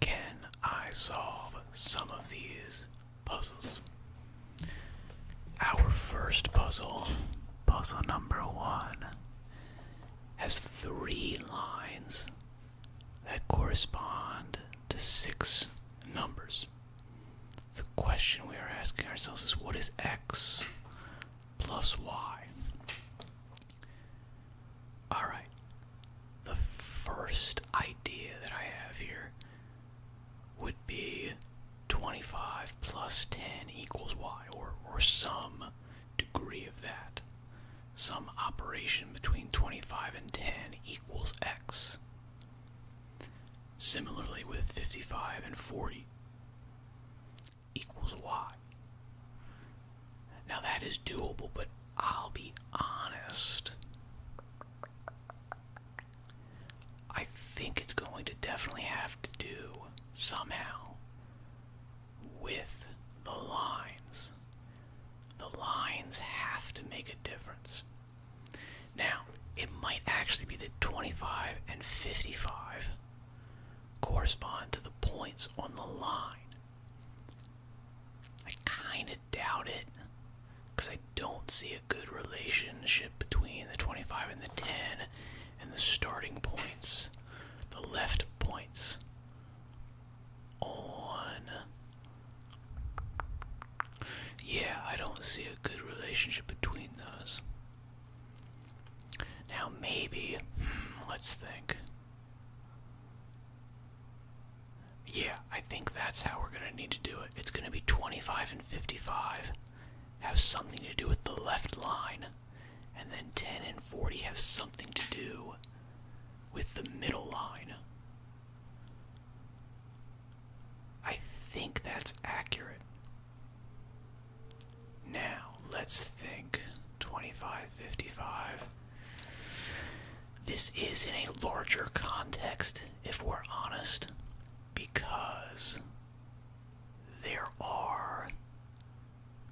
Can I solve some of these puzzles? Our first puzzle, puzzle number one, has three lines that correspond to six numbers. The question we are asking ourselves is what is x plus y? All right. The first idea that I have here would be 25 plus 10 equals y, or, some degree of that. Some operation between 25 and 10 equals x. Similarly with 55 and 40 equals y. Now that is doable, but I'll be honest. I think it's going to definitely have to do somehow with the lines. The lines have to make a difference. Now, it might actually be that 25 and 55 correspond to the points on the line. I kind of doubt it because I don't see a good relationship between the 25 and the 10 and the starting points, the left points on. Yeah, I don't see a good relationship between those. Now, maybe, hmm, let's think. Yeah, I think that's how we're gonna need to do it. It's gonna be 25 and 55 have something to do with the left line, and then 10 and 40 have something to do with the middle line. I think that's accurate. Now, let's think 25, 55. This is in a larger context, if we're honest, because there are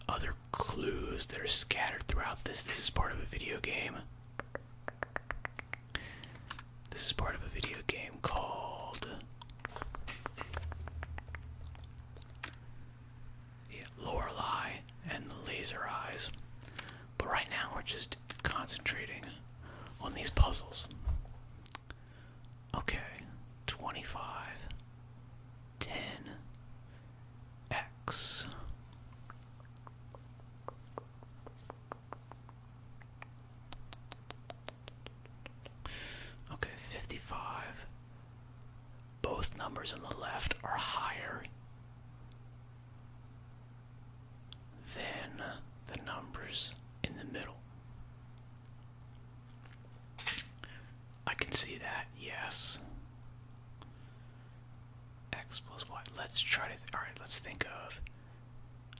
other clues that are scattered throughout this. This is part of a video game. This is part of a video game called. Yeah, Lorelei and the Laser Eyes. But right now, we're just concentrating on these puzzles. Okay, 25, 10, X. Okay, 55. Both numbers on the left are higher then the numbers in the middle. I can see that, yes. X plus Y. Let's try to. All right, let's think of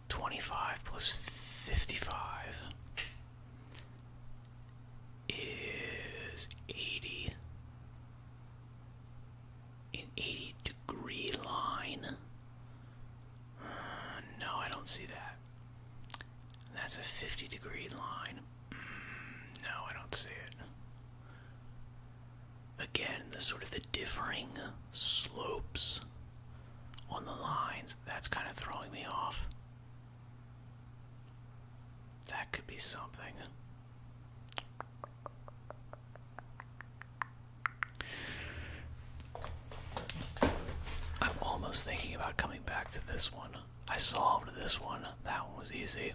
25 plus 55 is 80 an 80 degree line. Uh, no, I don't see that. That's a 50 degree line. Mm, no, I don't see it. Again, the sort of the differing slopes on the lines, that's kind of throwing me off. That could be something. I'm almost thinking about coming back to this one. I solved this one. That one was easy.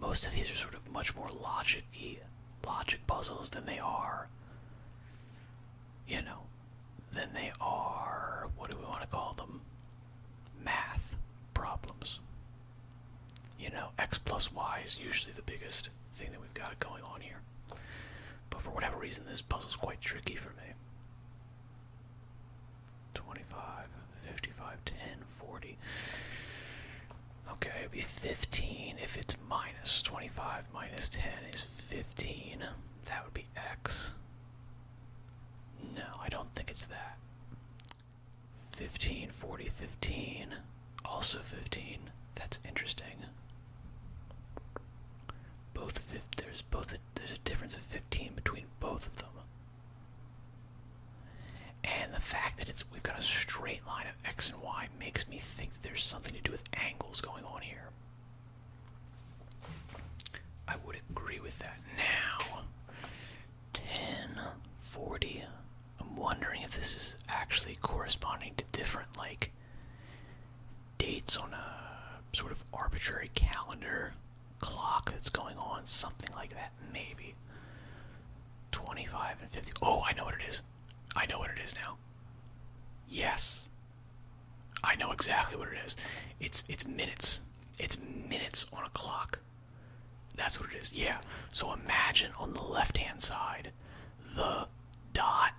Most of these are sort of much more logic logic puzzles than they are, you know, than they are, what do we want to call them? Math problems you know, x plus y is usually the biggest thing that we've got going on here. But for whatever reason, this puzzle's quite tricky for me. 25, 55, 10, 40. Okay, it'd be 15 if it's 25 minus 10 is 15. That would be x. No, I don't think it's that. 15, 40, 15, also 15. That's interesting. Both fifth, there's both there's a difference of 15 between both of them. And the fact that it's we've got a straight line of x and y makes me think that there's something to do with angles going on here. I would agree with that. Now, 10, 40, I'm wondering if this is actually corresponding to different like dates on a sort of arbitrary calendar clock that's going on, something like that, maybe. 25 and 50. Oh, I know what it is. I know what it is now. Yes. I know exactly what it is. It's it's minutes. It's minutes on a clock. That's what it is. Yeah. So imagine on the left-hand side, the dot,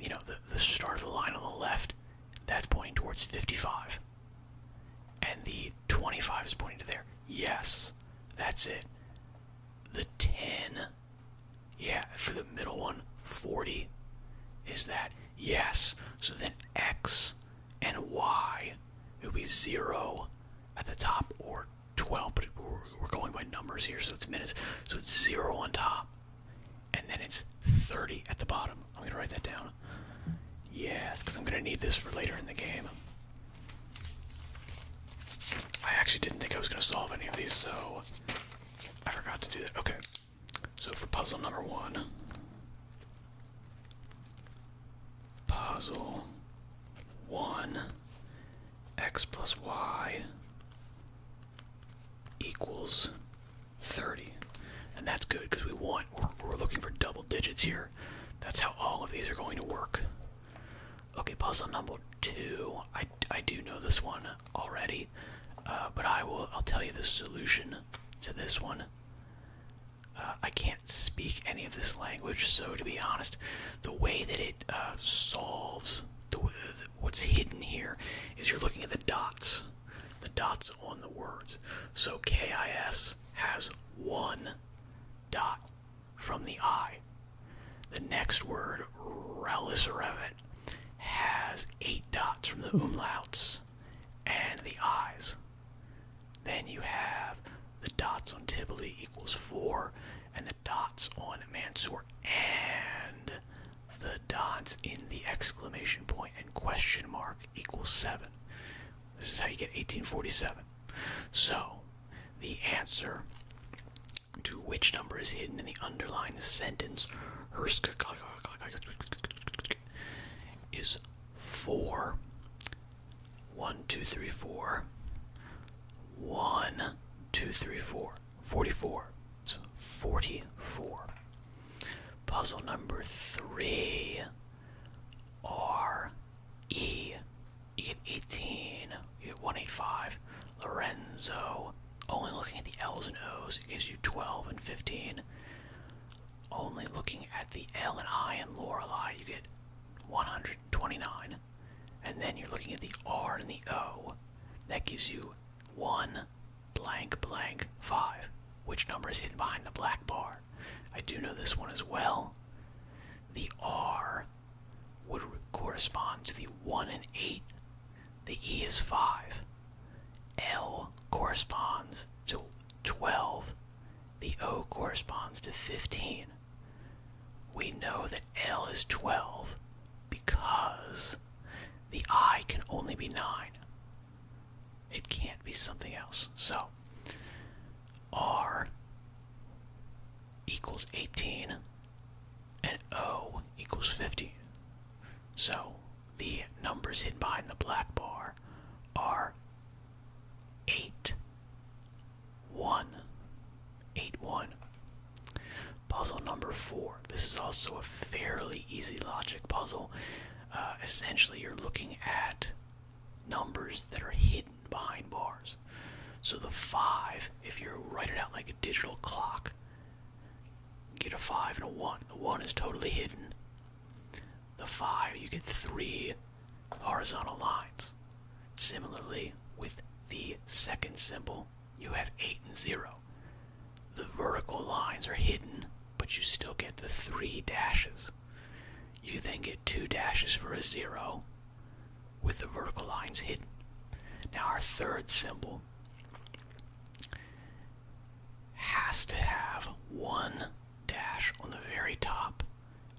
you know, the, the start of the line on the left, that's pointing towards 55. And the 25 is pointing to there. Yes, that's it. The 10, yeah, for the middle one, 40, is that yes. So then X and Y, it would be 0 at the top or 12, but we're going by numbers here, so it's minutes. So it's 0 on top, and then it's 30 at the bottom. I'm going to write that down. Yeah, because I'm going to need this for later in the game. I actually didn't think I was going to solve any of these, so I forgot to do that. Okay, so for puzzle number one, puzzle one x plus y equals 30. And that's good because we want, we're, looking for double digits here. That's how all of these are going to work. Okay, puzzle number two. I, I do know this one already, uh, but I will, I'll tell you the solution to this one. Uh, I can't speak any of this language, so to be honest, the way that it uh, solves what's hidden here is you're looking at the dots, the dots on the words. So KIS has one dot from the I. The next word, Relisorevit, has eight dots from the umlauts and the eyes. Then you have the dots on Tivoli equals 4, and the dots on Mansour and the dots in the exclamation point and question mark equals 7. This is how you get 1847. So, the answer to which number is hidden in the underlined sentence is 4. 1, 2, 3, 4. One, two, three, four. 44. So 44. Puzzle number three. R E. You get 18. You get 185. Lorenzo. Only looking at the L's and O's, it gives you 12 and 15. Only looking at the L and I and Lorelei, you get 129 and then you're looking at the R and the O, that gives you 1 blank blank 5, which number is hidden behind the black bar. I do know this one as well. The R would correspond to the 1 and 8. The E is 5. L corresponds to 12. The O corresponds to 15. We know that L is 12 because the I can only be 9. It can't be something else. So R equals 18 and O equals 15. So the numbers hidden behind the black bar are 8 1. Puzzle number 4. This is also a fairly easy logic puzzle. Uh, essentially, you're looking at numbers that are hidden behind bars. So the 5, if you write it out like a digital clock, get a 5 and a 1. The 1 is totally hidden. The 5, you get 3 horizontal lines. Similarly, with the second symbol, you have 8 and 0. The vertical lines are hidden, but you still get the three dashes. You then get two dashes for a 0 with the vertical lines hidden. Now, our third symbol has to have one dash on the very top,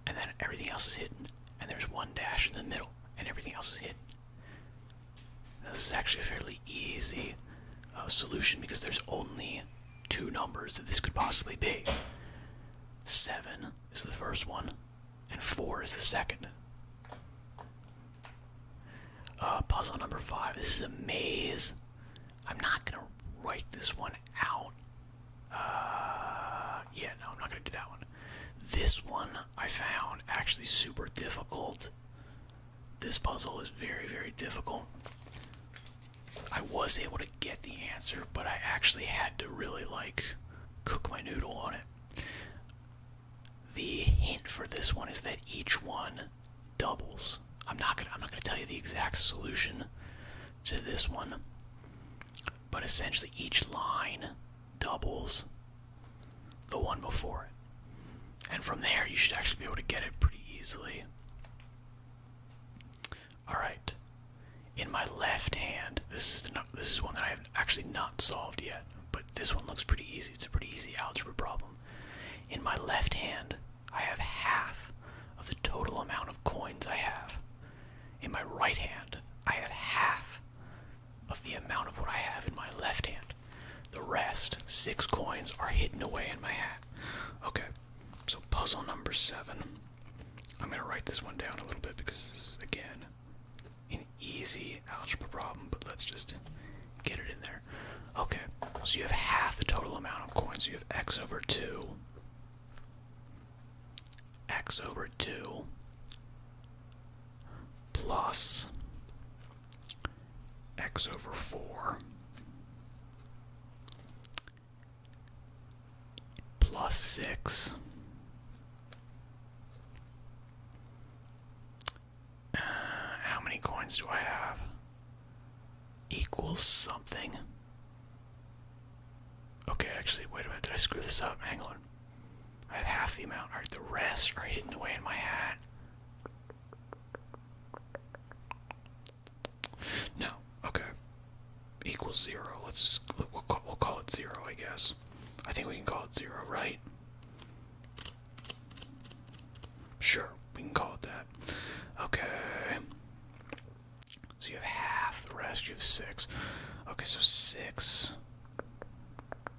and then everything else is hidden, and there's one dash in the middle, and everything else is hidden. This is actually a fairly easy uh, solution because there's only two numbers that this could possibly be. 7 is the first one, and 4 is the second. Uh, puzzle number 5. This is a maze. I'm not going to write this one out. Uh, yeah, no, I'm not going to do that one. This one I found actually super difficult. This puzzle is very, very difficult. I was able to get the answer, but I actually had to really like cook my noodle on it. The hint for this one is that each one doubles. I'm not gonna I'm not gonna tell you the exact solution to this one, but essentially each line doubles the one before it. And from there, you should actually be able to get it pretty easily. Alright. In my left hand, this is, this is one that I have actually not solved yet, but this one looks pretty easy. It's a pretty easy algebra problem. In my left hand, I have half of the total amount of coins I have. In my right hand, I have half of the amount of what I have in my left hand. The rest, six coins, are hidden away in my hat. Okay, so puzzle number seven. I'm gonna write this one down a little bit because this is, again, an easy algebra problem, but let's just get it in there. Okay, so you have half the total amount of coins. You have x over 2, x over 2, plus x over 4 plus 6 uh, how many coins do I have equals something okay actually wait a minute did I screw this up hang on I have half the amount. Alright, the rest are hidden away in my hat. No, okay. Equals zero. Let's just, we'll call, it zero, I guess. I think we can call it zero, right? Sure, we can call it that. Okay. So you have half the rest, you have six. Okay, so six.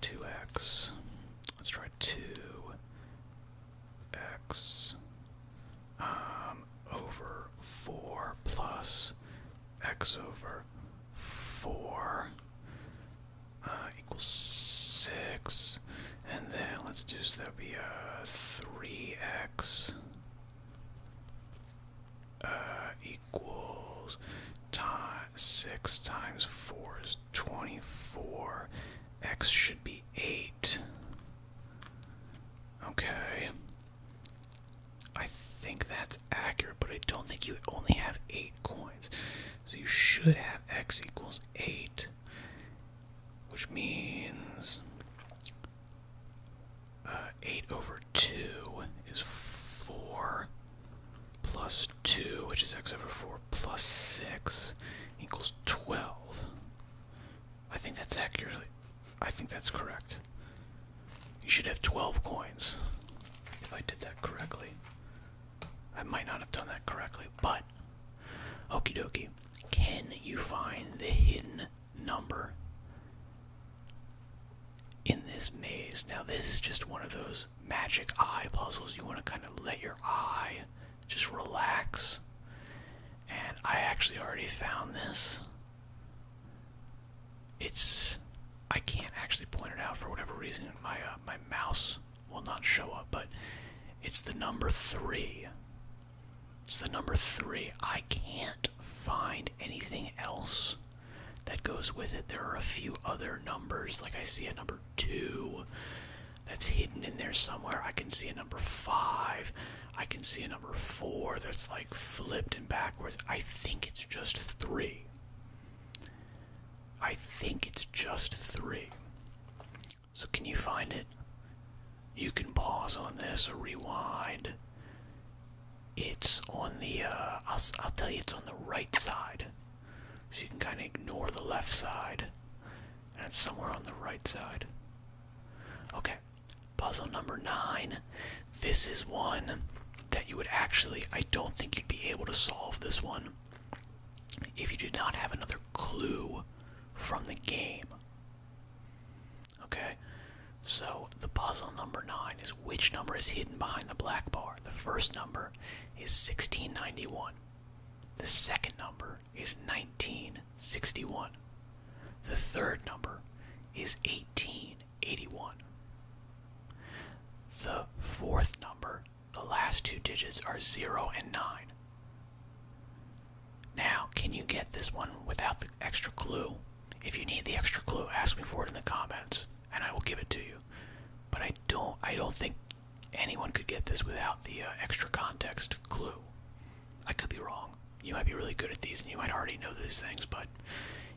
Two X. Let's try two X um, over four plus X over four uh equals six. And then let's do so that'd be uh three X uh, equals 6 times 4 is 24. X should be 8. Okay. I think that's accurate, but I don't think you only have 8 coins. So you should have X equals 8. Which means uh, 8 over 2 is 4 plus 2, which is x over 4, plus 6 equals 12. I think that's accurately. I think that's correct. You should have 12 coins if I did that correctly. I might not have done that correctly, but okey dokey. Can you find the hidden number in this maze? Now, this is just one of those magic eye puzzles. You want to kind of let your eye just relax. And I actually already found this. It's I can't actually point it out for whatever reason. My uh, my mouse will not show up, but it's the number three. It's the number three. I can't find anything else that goes with it. There are a few other numbers, like I see a number two that's hidden in there somewhere. I can see a number five. I can see a number four that's like flipped and backwards. I think it's just three. I think it's just three. So, can you find it? You can pause on this or rewind. It's on the, uh, I'll tell you, it's on the right side. So you can kind of ignore the left side, and it's somewhere on the right side. Okay, puzzle number nine. This is one that you would actually, I don't think you'd be able to solve this one if you did not have another clue from the game. Okay, so the puzzle number nine is which number is hidden behind the black bar? The first number is 1691. The second number is 1961. The third number is 1881. The fourth number, the last two digits are 0 and 9. Now, can you get this one without the extra clue? If you need the extra clue, ask me for it in the comments and I will give it to you. But I don't I don't think anyone could get this without the uh, extra context clue. I could be wrong. You might be really good at these and you might already know these things, but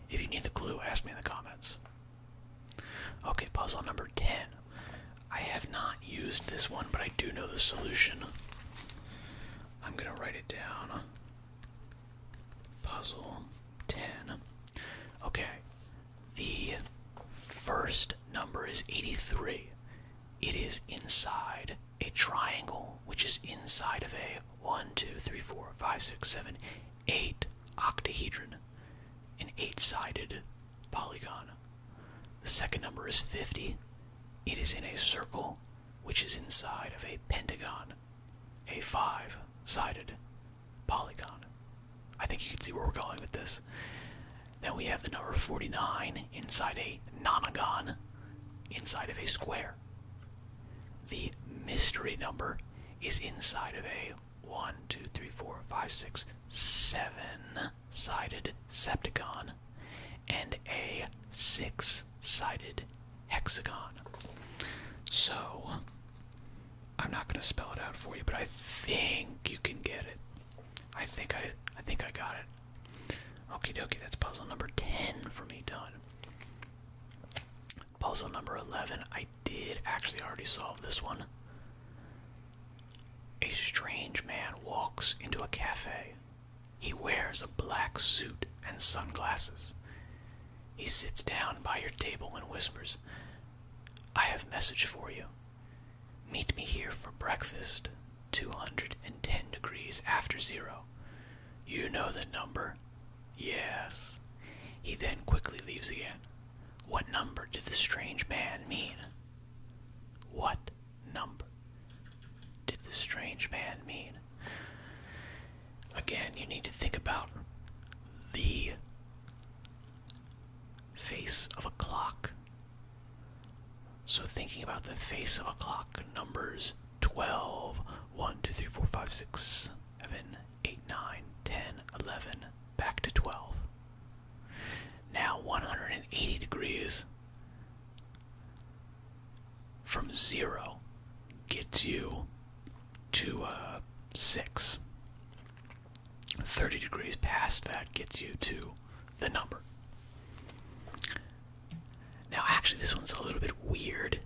if you need the clue, ask me in the comments. Okay, puzzle number 10. I have not used this one, but I do know the solution. I'm going to write it down. Puzzle 10. Okay, the first number is 83. It is inside a triangle, which is inside of a 1, 2, 3, 4, 5, 6, 7, 8 octahedron, an 8 sided polygon. The second number is 50. It is in a circle, which is inside of a pentagon, a 5 sided polygon. I think you can see where we're going with this. Then we have the number 49 inside a nonagon, inside of a square. The mystery number is inside of a 1, 2, 3, 4, 5, 6, 7 sided septagon and a 6 sided hexagon. So I'm not gonna spell it out for you, but I think you can get it. I think I I think I got it. Okie dokie, that's puzzle number 10 for me done. Puzzle number 11, I did actually already solve this one. A strange man walks into a cafe. He wears a black suit and sunglasses. He sits down by your table and whispers, I have message for you. Meet me here for breakfast, 210 degrees after zero. You know the number. Yes. He then quickly leaves again. What number did the strange man mean? What number did the strange man mean? Again, you need to think about the face of a clock. So, thinking about the face of a clock, numbers 12, 1, 2, 3, 4, 5, 6, 7, 8, 9, 10, 11, back to 12. Now 180 degrees from 0 gets you to uh, 6. 30 degrees past that gets you to the number. Now, actually, this one's a little bit weird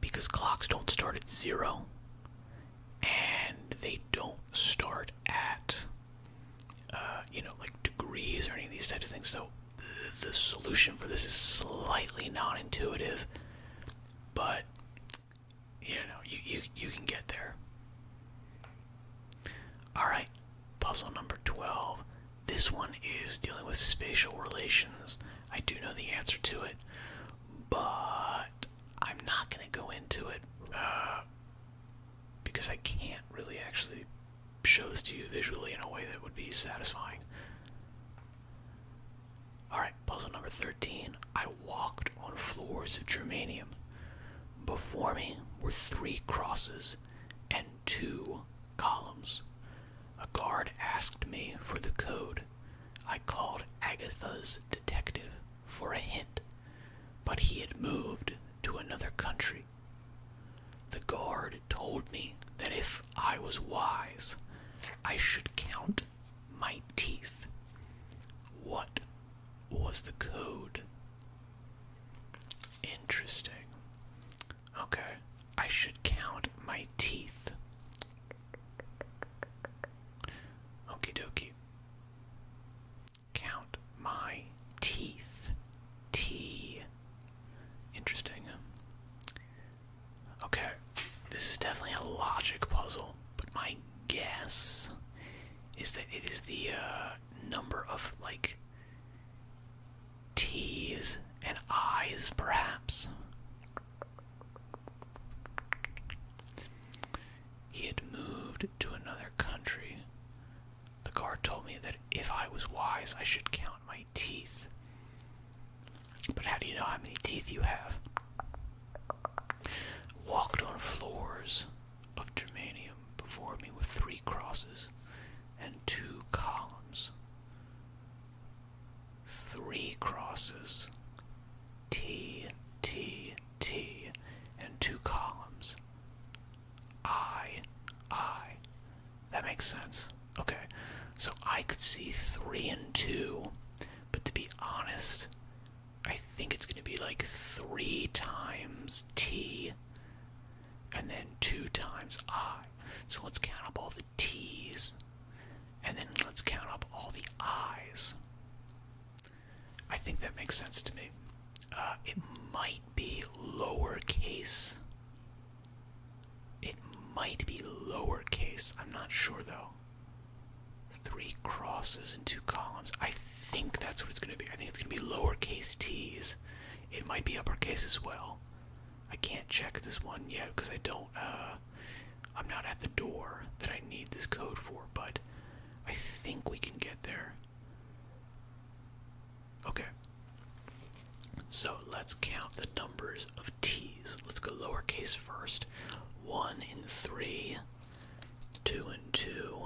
because clocks don't start at zero and they don't start at, uh, you know, like degrees or any of these types of things. So, the solution for this is slightly non intuitive, but you know, you, you, you can get there. Alright, puzzle number 12. This one is dealing with spatial relations. I do know the answer to it, but I'm not going to go into it uh, because I can't really actually show this to you visually in a way that would be satisfying. Alright, puzzle number 13. I walked on floors of germanium. Before me were three crosses and two columns. A guard asked me for the code. I called Agatha's detective for a hint, but he had moved to another country. The guard told me that if I was wise, I should count my teeth. What was the code. Interesting. Okay, I should count my teeth. Okie dokie. Count my teeth. T. Interesting. Okay, this is definitely a logic puzzle, but my guess is that it is the uh, number of like T's and I's, perhaps. He had moved to another country. The guard told me that if I was wise, I should count my teeth. But how do you know how many teeth you have? Walked on floors of germanium before me with three crosses and two columns. Three crosses, T, T, T, and two columns. I, I. That makes sense. Okay, so I could see three and two, but to be honest, I think it's going to be like 3 times t and then 2 times i. So let's count up all the t's and then let's count up all the i's. I think that makes sense to me. Uh, it might be lowercase. It might be lowercase. I'm not sure though three crosses and two columns. I think that's what it's going to be. I think it's going to be lowercase t's. It might be uppercase as well. I can't check this one yet because I don't. Uh, I'm not at the door that I need this code for, but I think we can get there. Okay. So let's count the numbers of t's. Let's go lowercase first. One and three, two and two,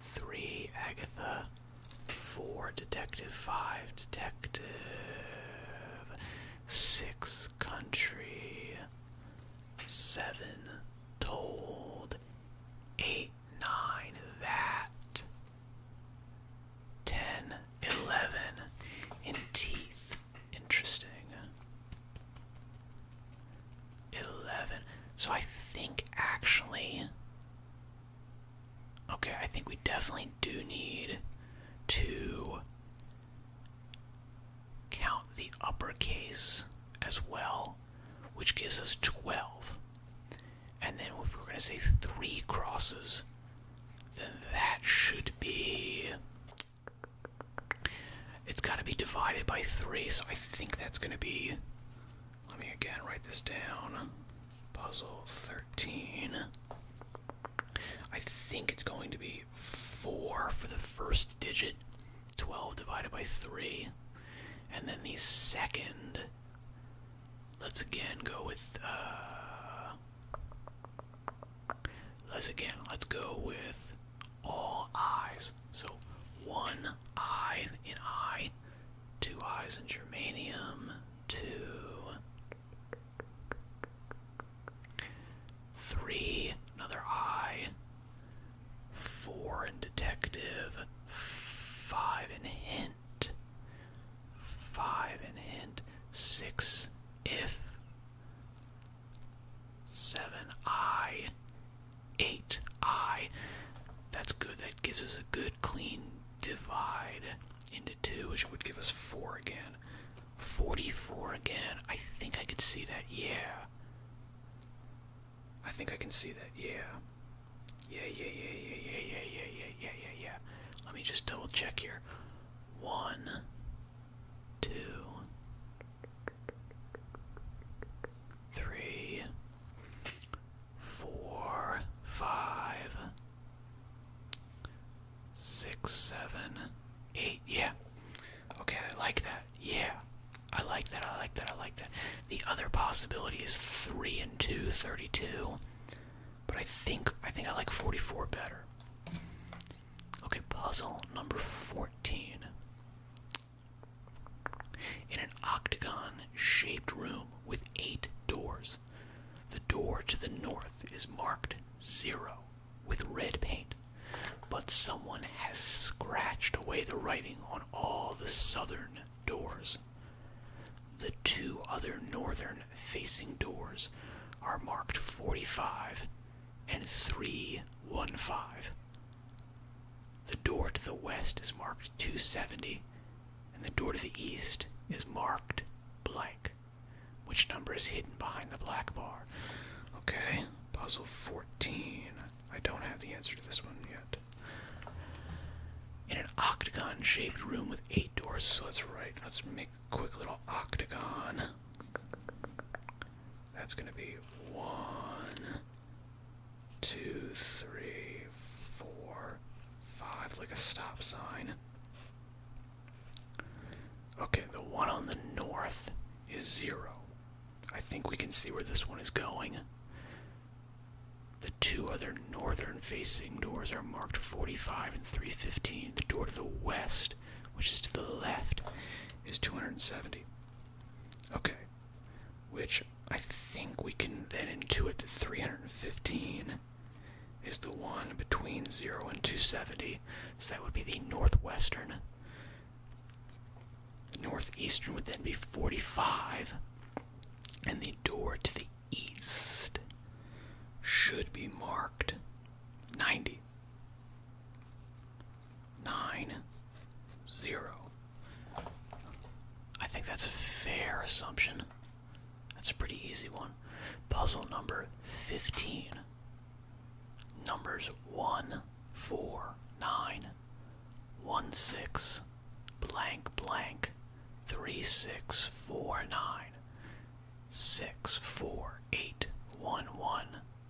Three Agatha, four Detective, five Detective, six Country, seven Told, eight, nine That, ten, eleven, in Teeth. Interesting. Eleven. So I think actually. Okay, I think we definitely do need to count the uppercase as well, which gives us 12. And then if we're going to say three crosses, then that should be it's got to be divided by 3, so I think that's going to be. Let me again write this down. Puzzle 13. I think it's going to be 4 for the first digit, 12 divided by 3. And then the second. Let's again go with. Uh, Let's again, let's go with all eyes. So one eye in eye, two eyes in germanium, two, three, another eye, four in detective, five in hint, five in hint, six if seven I, eight I. That's good. That gives us a good clean divide into two, which would give us four again. 44 again. I think I could see that. Yeah. I think I can see that. Yeah. Yeah, yeah, yeah, yeah, yeah, yeah, yeah, yeah, yeah, yeah, yeah. Let me just double check here. One, two, three, four, five, six, seven, eight. Yeah. Okay, I like that. Yeah. I like that. I like that. I like that. The other possibility is three and two, 32. But I think I think I like 44 better. Okay, puzzle number 14. In an octagon shaped room with eight doors, the door to the north is marked zero with red paint, but someone has scratched away the writing on all the southern doors. The two other northern facing doors are marked 45 and 315. The door to the west is marked 270, and the door to the east is marked blank, which number is hidden behind the black bar. Okay, puzzle 14. I don't have the answer to this one yet. In an octagon shaped room with eight doors, so that's right. Let's make a quick little octagon. That's going to be one, two, three, four, five, like a stop sign. Okay, the one on the north is zero. I think we can see where this one is going. The two other northern facing doors are marked 45 and 315. The door to the west, which is to the left, is 270. Okay. Which I think we can then intuit that 315 is the one between 0 and 270. So that would be the northwestern. northeastern would then be 45. And the door to the east should be marked 90 three, nine, zero. I think that's a fair assumption. That's a pretty easy one. Puzzle number 15. Numbers 1, 4, 9, 1, 6, blank, blank, 3, 6, 4, 9, 6, 4, 8, 1, 1,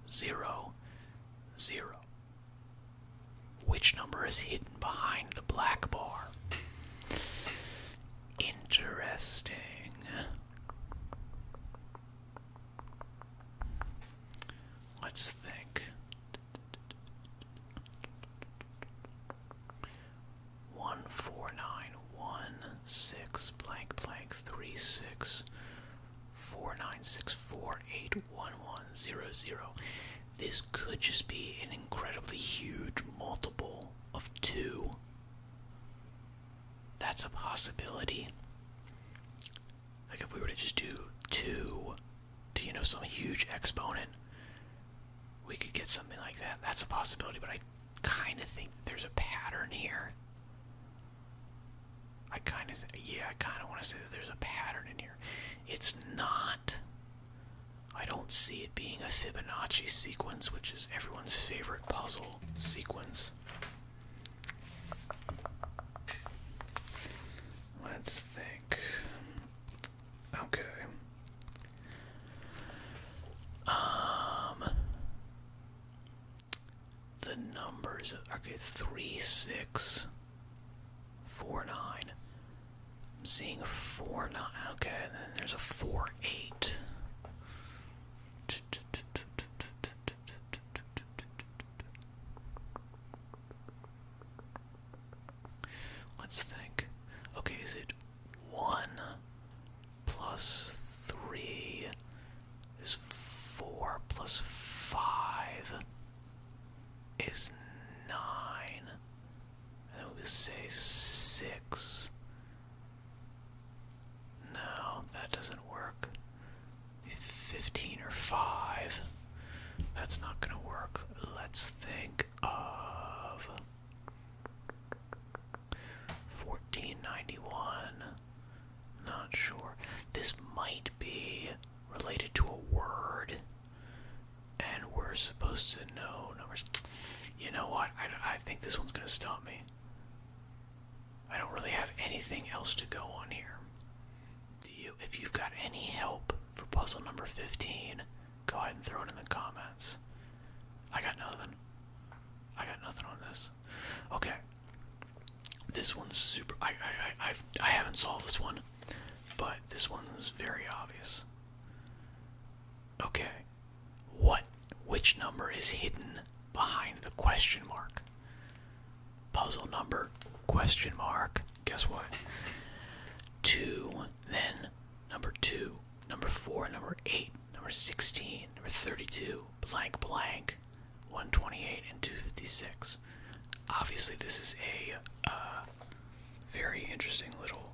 zero, zero. Which number is hidden behind the black bar? Interesting. Let's think. One four nine one six blank blank three six 4964811100. This could just be an incredibly huge multiple of 2. That's a possibility. Like if we were to just do 2 to, you know, some huge exponent, we could get something like that. That's a possibility, but I kind of think there's a pattern here. I kind of, yeah, I kind of want to say that there's a pattern in here. It's not. I don't see it being a Fibonacci sequence, which is everyone's favorite puzzle sequence. Let's think. Okay. Um the numbers. Okay, three six. Four six, four, nine. I'm seeing four, nine. Okay, and then there's a four, eight. Let's think. Okay, is it one plus three is 4 plus 5 is 9. And then we say 6. No, that doesn't work. 15 or 5. That's not going to work. Let's think of 1491 not sure. This might be related to a word, and we're supposed to know numbers. You know what? I, I think this one's gonna stop me. I don't really have anything else to go on here. Do you? If you've got any help for puzzle number 15, go ahead and throw it in the comments. I got nothing. I got nothing on this. Okay. This one's super. I I I've, I haven't solved this one, but this one's very obvious. Okay, what? Which number is hidden behind the question mark? Puzzle number question mark. Guess what? Two. Then number two, number four, number eight, number sixteen, number thirty-two. Blank, blank. 128 and 256. Obviously, this is a uh, very interesting little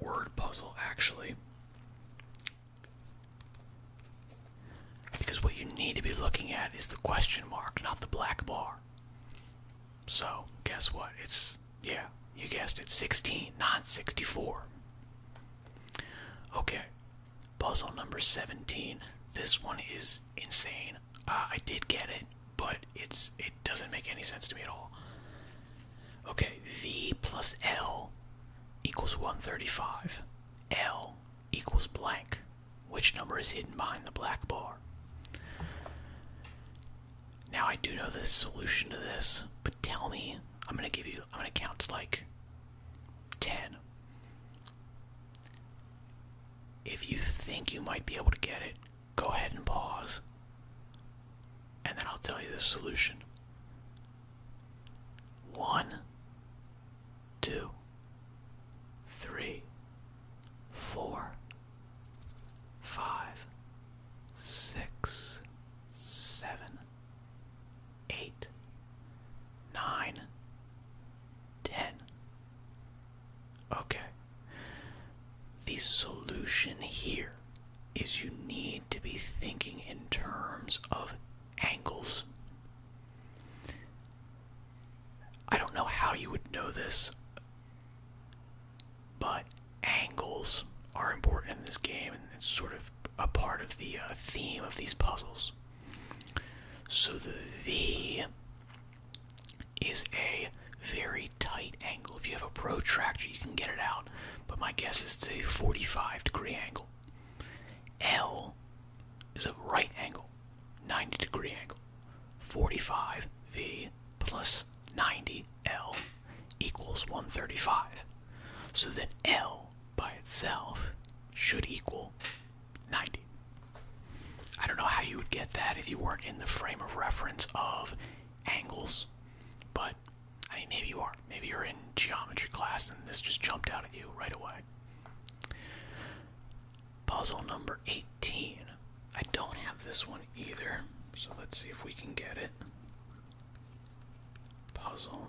word puzzle, actually. Because what you need to be looking at is the question mark, not the black bar. So, guess what? It's, yeah, you guessed it, 16, not 64. Okay, Puzzle number 17. This one is insane. Uh, I did get it, but it's it doesn't make any sense to me at all. Okay, V plus L equals 135. L equals blank. Which number is hidden behind the black bar? Now I do know the solution to this, but tell me. I'm gonna give you. I'm gonna count like 10. If you think you might be able to get it, go ahead and pause. And then I'll tell you the solution. One, two, three, four, five, six, seven, eight, nine, ten. Okay. The solution here is you need to be thinking in terms of angles. I don't know how you would know this, but angles are important in this game, and it's sort of a part of the uh, theme of these puzzles. So the V is a very tight angle. If you have a protractor, you can get it out, but my guess is it's a 45 degree angle. L is a right angle, 90 degree angle. 45 V plus 90 L equals 135. So then L by itself should equal 90. I don't know how you would get that if you weren't in the frame of reference of angles, but I mean, maybe you are. Maybe you're in geometry class and this just jumped out at you right away. Puzzle number 18. I don't have this one either, so let's see if we can get it. Puzzle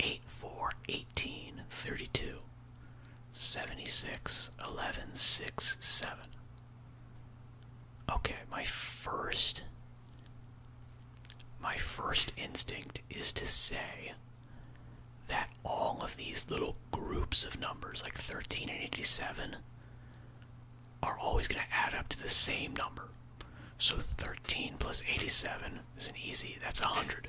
8 4 18 32 76 11 6 7 okay my first my first instinct is to say that all of these little groups of numbers like 13 and 87 are always going to add up to the same number so 13 plus 87 is an easy that's 100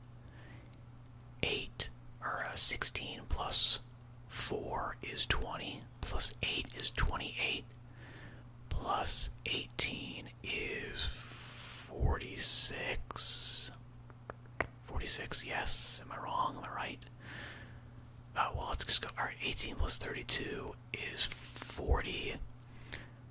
8 or 16 plus 4 is 20 plus 8 is 28 plus 18 is 46 46 yes am i wrong am i right uh, well let's just go all right 18 plus 32 is 40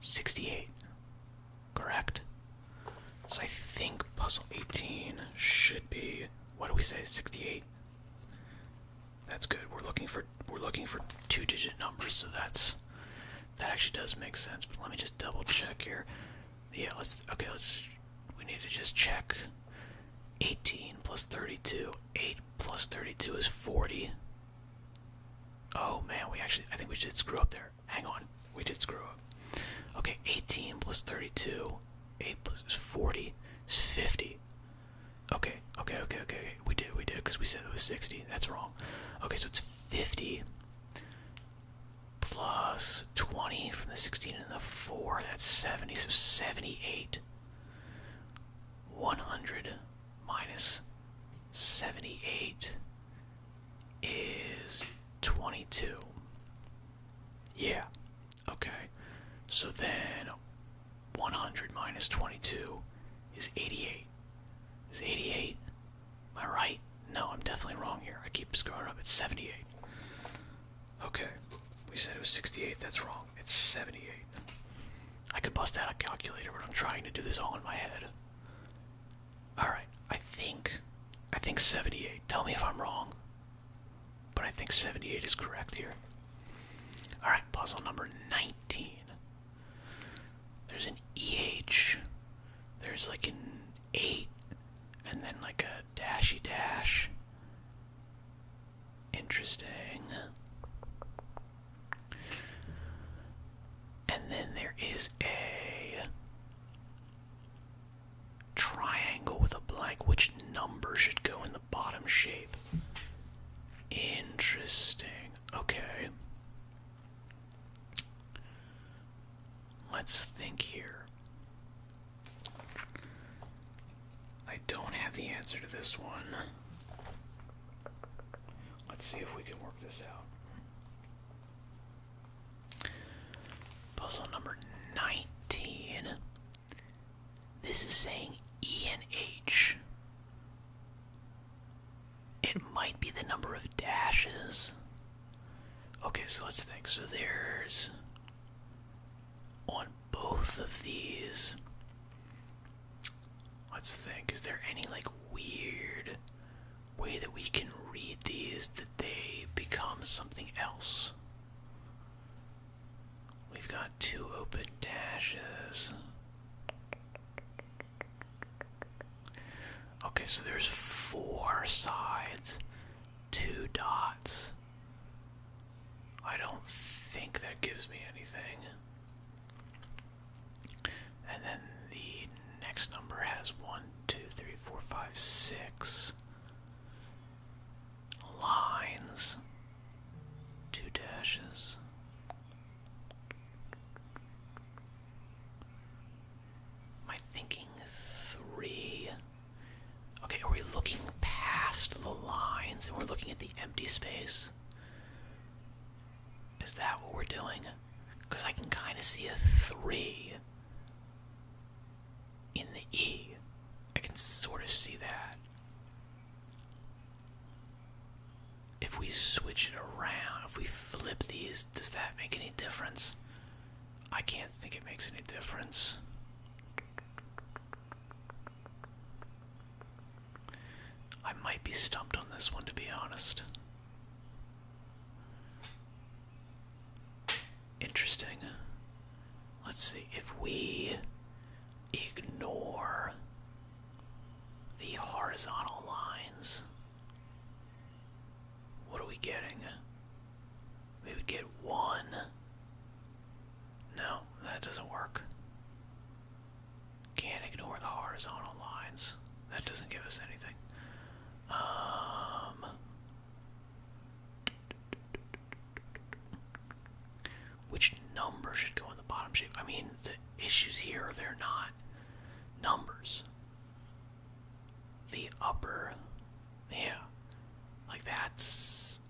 68. Correct? So I think puzzle 18 should be what do we say 68? That's good. We're looking for we're looking for two digit numbers, so that's that actually does make sense. But let me just double check here. Yeah, let's okay, let's we need to just check 18 plus 32. 8 plus 32 is 40. Oh man, we actually I think we did screw up there. Hang on, we did screw up. Okay, 18 plus 32, 8 plus 40 50. Okay, okay, okay, okay. We did, we did, because we said it was 60. That's wrong. Okay, so it's 50 plus 20 from the 16 and the 4. That's 70, so 78. 100 minus 78 is 22. Yeah, okay. So then 100 minus 22 is 88. Is 88? Am I right? No, I'm definitely wrong here. I keep screwing up. It's 78. Okay, we said it was 68. That's wrong. It's 78. I could bust out a calculator, but I'm trying to do this all in my head. All right, I think, I think 78. Tell me if I'm wrong, but I think 78 is correct here. All right, puzzle number 19. There's an EH, there's like an 8, and then like a dashy dash. Interesting. And then there is a triangle with a blank. Which number should go in the bottom shape? Interesting. Okay. Let's think here. I don't have the answer to this one. Let's see if we can work this out. Puzzle number 19. This is saying E and H. It might be the number of dashes. Okay, so let's think. So there's on both of these Let's think. Is there any like weird way that we can read these that they become something else? We've got two open dashes. Okay, so there's four sides, two dots. I don't think that gives me anything. And then the next number has one, two, three, four, five, six lines, two dashes. Am thinking three? Okay, are we looking past the lines and we're looking at the empty space? Is that what we're doing? Because I can kind of see a 3 in the E. I can sort of see that. If we switch it around, if we flip these, does that make any difference? I can't think it makes any difference. I might be stumped on this one to be honest. Interesting. Let's see. If we ignore the horizontal lines, what are we getting? We would get one. No, that doesn't work. Can't ignore the horizontal lines. That doesn't give us anything. Um, which number should go in the bottom shape? I mean, the issues here, they're not numbers. The upper, yeah, like that's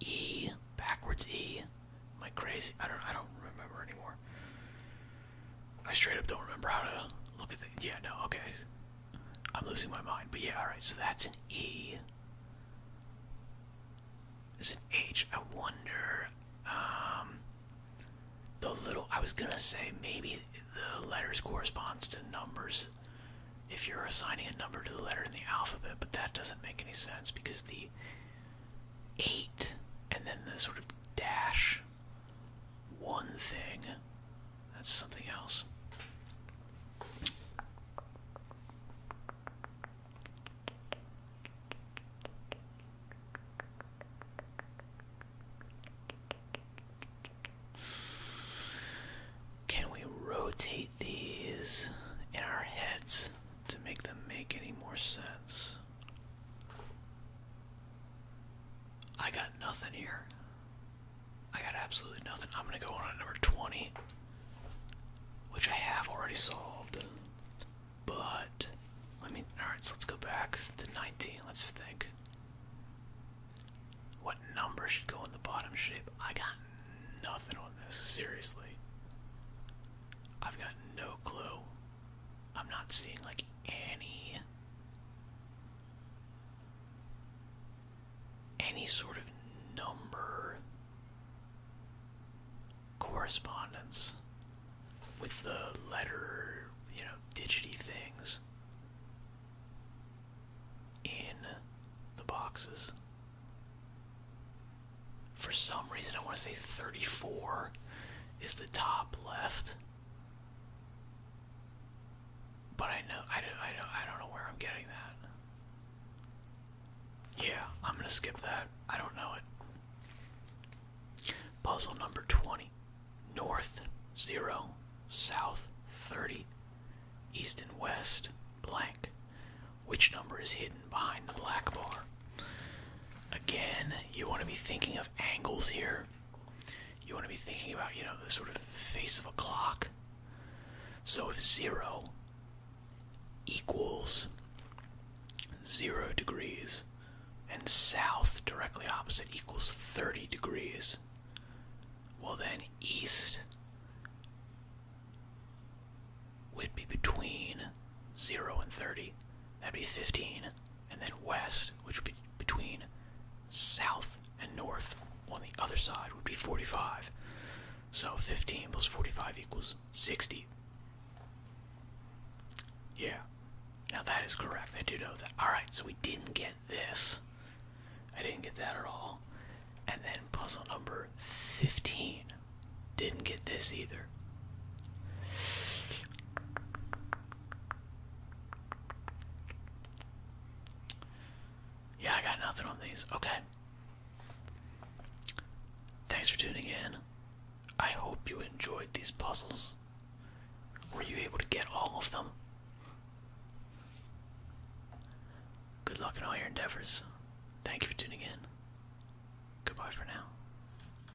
E backwards E. Am I crazy? I don't I don't remember anymore. I straight up don't remember how to look at the yeah, no, okay. I'm losing my mind. But yeah, alright, so that's an E. Is an H. I wonder. Um the little I was gonna say maybe the letters corresponds to numbers if you're assigning a number to the letter in the alphabet, but that doesn't make any sense because the eight, and then the sort of dash one thing. That's something else. Can we rotate these in our heads to make them make any more sense? I got nothing here. I got absolutely nothing. I'm gonna go on to number 20, which I have already solved. But let me. Alright, so let's go back to 19. Let's think. What number should go in the bottom shape? I got nothing on this, seriously. I've got no clue. I'm not seeing like any any sort of number correspondence with the letter, you know, digity things in the boxes. For some reason, I want to say 34 is the top left. But I know I don't I don't I don't know where I'm getting that. Yeah, I'm gonna skip that. I don't know it. Puzzle number 20. North 0, south 30, east and west blank. Which number is hidden behind the black bar? Again, you want to be thinking of angles here. You want to be thinking about, you know, the sort of face of a clock. So if zero equals zero degrees and south directly opposite equals 30 degrees, well then east would be between 0 and 30. That'd be 15 and then west, which would be between south and north on the other side would be 45. So 15 plus 45 equals 60. Yeah. Now that is correct. I do know that. Alright, so we didn't get this. I didn't get that at all. And then puzzle number 15. Didn't get this either. Yeah, I got nothing on these. Okay. Thanks for tuning in. I hope you enjoyed these puzzles. Were you able to get all of them? Good luck in all your endeavors. Thank you for tuning in. Goodbye for now.